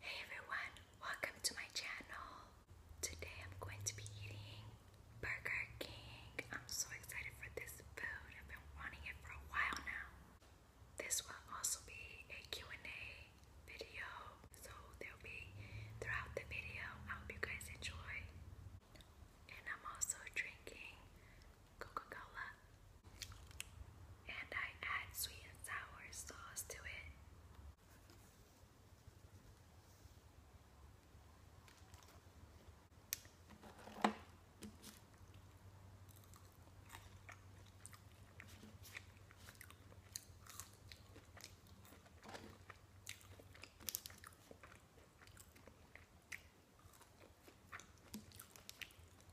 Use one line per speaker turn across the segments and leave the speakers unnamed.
Hey everyone, welcome to my channel. Today I'm going to be eating Burger King. I'm so excited for this food. I've been wanting it for a while now. This will also be a and a video. So there'll be throughout the video. I hope you guys enjoy. And I'm also drinking Coca-Cola and I add sweet and sour sauce to it.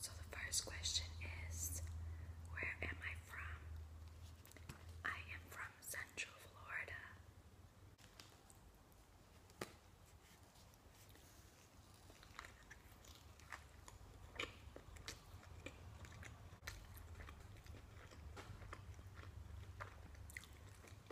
So, the first question is Where am I from? I am from Central Florida.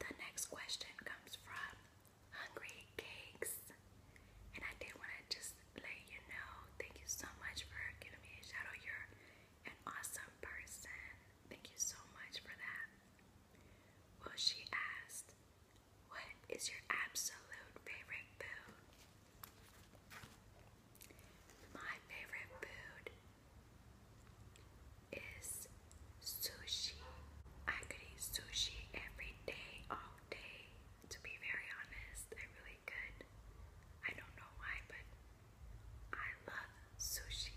The next question comes from Hungry And I did want to just let you know thank you so much for giving me a shout out. You're an awesome person. Thank you so much for that. Well, she asked, What is your absolute favorite food? My favorite food is sushi. I could eat sushi every day, all day. To be very honest, I really could. I don't know why, but I love sushi.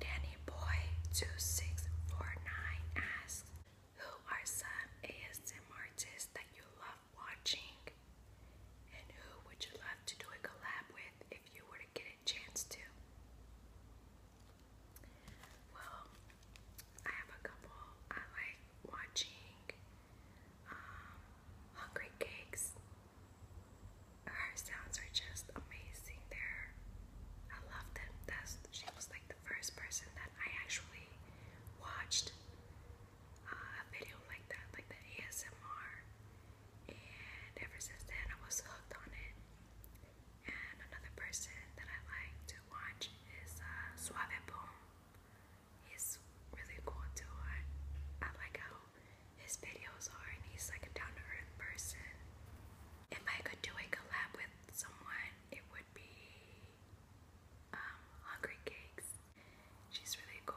Danny Boy 2649 asks, Who are some ASM artists that you love watching? And who would you love to do a collab with if you were to get a chance to? Well, I have a couple. I like watching um, Hungry Cakes. Her sounds are just amazing. they I love them. That's, she was like the first person that I actually watched uh, a video like that, like the ASMR, and ever since then I was hooked on it. And another person that I like to watch is uh, Suave Boom. He's really cool too. I like how his videos are, and he's like a down to earth person. If I could do a collab with someone, it would be um, hungry Cakes. She's really cool.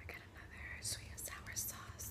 I got another sweet and sour sauce.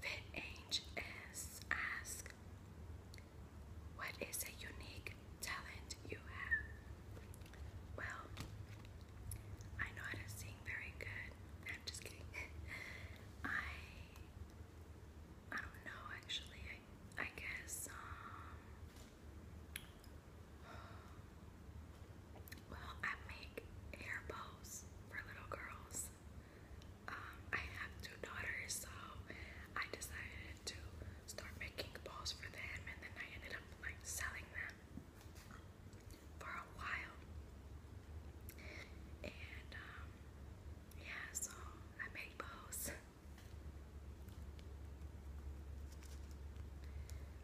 Fit Ange is What is a unique talent you have? Well, I know how to sing very good. I'm just kidding. I I don't know actually. I I guess um, well, I make hair bows for little girls. Um, I have two daughters, so I decided to start making bows for them, and then I ended up like selling them for a while. And um, yeah, so I make bows.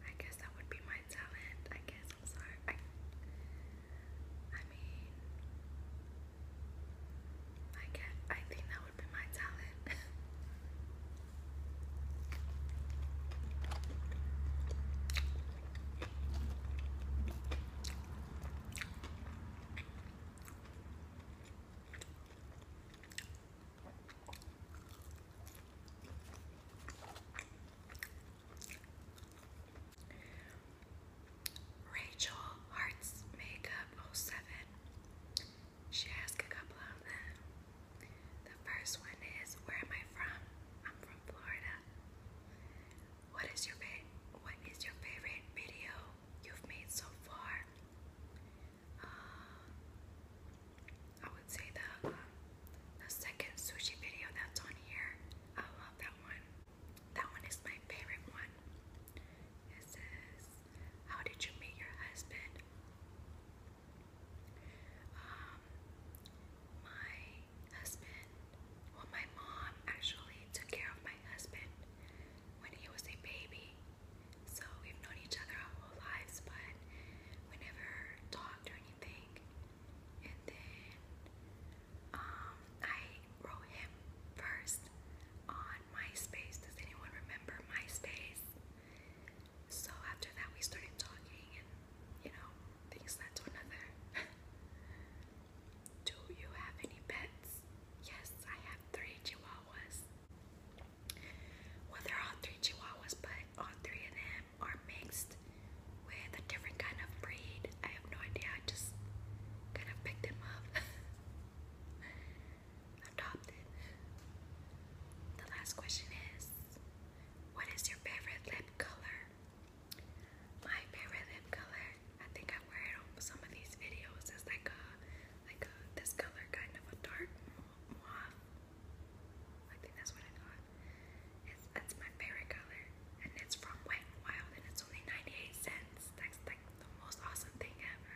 I guess that would be my talent. I guess sorry. I, I mean, I guess I think that would be my talent. Rachel Hearts Makeup 07. She asked a couple of them. The first one is Where am I from? I'm from Florida. What is your what is your favorite video you've made so far? Uh, I would say the um, the second sushi video that's on here. I love that one. That one is my favorite one. It says, "How did you meet your husband?" Um, my husband. Well, my mom actually took care of my husband when he was a baby. So we've known each other our whole lives, but we never talked or anything. And then um, I wrote him first on MySpace. Does anyone remember MySpace? So after that, we started talking, and you know, things led to another. Do you have any pets? Yes, I have three chihuahuas. Well, they're all three Chihuahuas, but all three of them are mixed with a different kind of breed. I have no idea. I just kind of picked them up. Adopted. The last question is What is your favorite lip color? My favorite lip color, I think I wear it on some of these videos, is like a like a, uh, this color, kind of a dark mauve. I think that's what I got. It's, my favorite color, and it's from Wet n Wild, and it's only 98 cents. That's like the most awesome thing ever.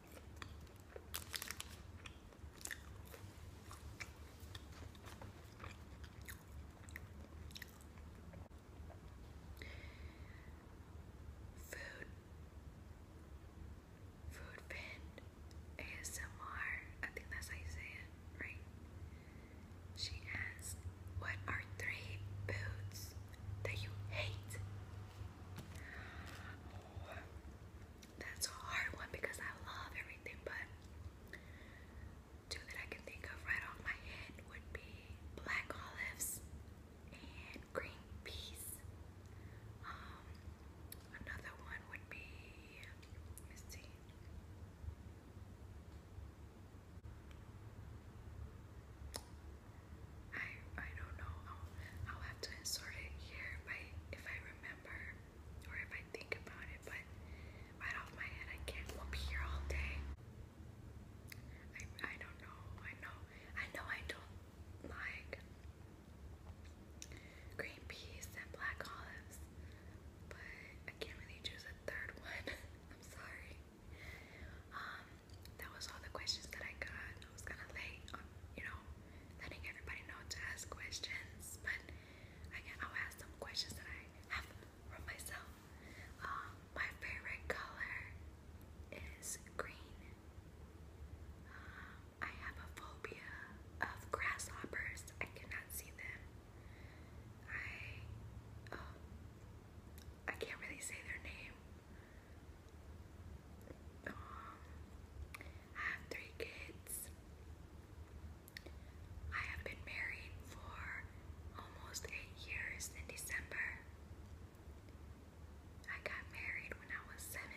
Food, food fan, ASMR. I think that's how you say it, right? She asked, "What are three foods that you hate?" that's a hard one because I love everything, but two that I can think of right off my head would be black olives and green peas. Um, another one would be, let I I don't know. I'll, have to insert it here if I if I remember or if I think about it. But right off my head, I can't. We'll be here all day. I I don't know. I know. I know. I don't like green peas and black olives, but I can't really choose a third one. I'm sorry. Um, that was all the questions that I got. I was kind of late on, um, you know, letting everybody know to ask questions, but I can, I'll ask some questions that I have from myself. Um, my favorite color is green. Um, I have a phobia of grasshoppers. I cannot see them. I, I can't really say their name. I have three kids. I have been married for almost eight years in December. I got married when I was 17.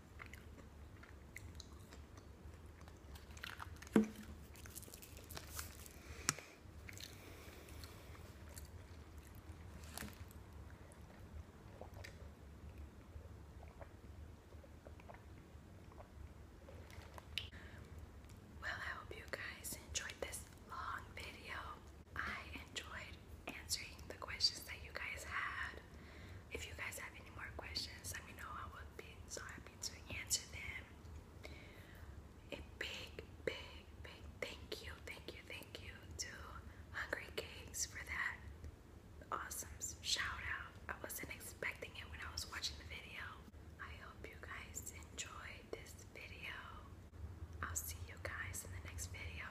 Well, I hope you guys enjoyed this long video. I enjoyed answering the questions that you guys had. If you guys have any more questions, let me know. I would be so happy to answer them. A big, big, big thank you, thank you, thank you to Hungry Cakes for that awesome shout out. I wasn't expecting it when I was watching the video. I hope you guys enjoyed this video. I'll see you guys in the next video.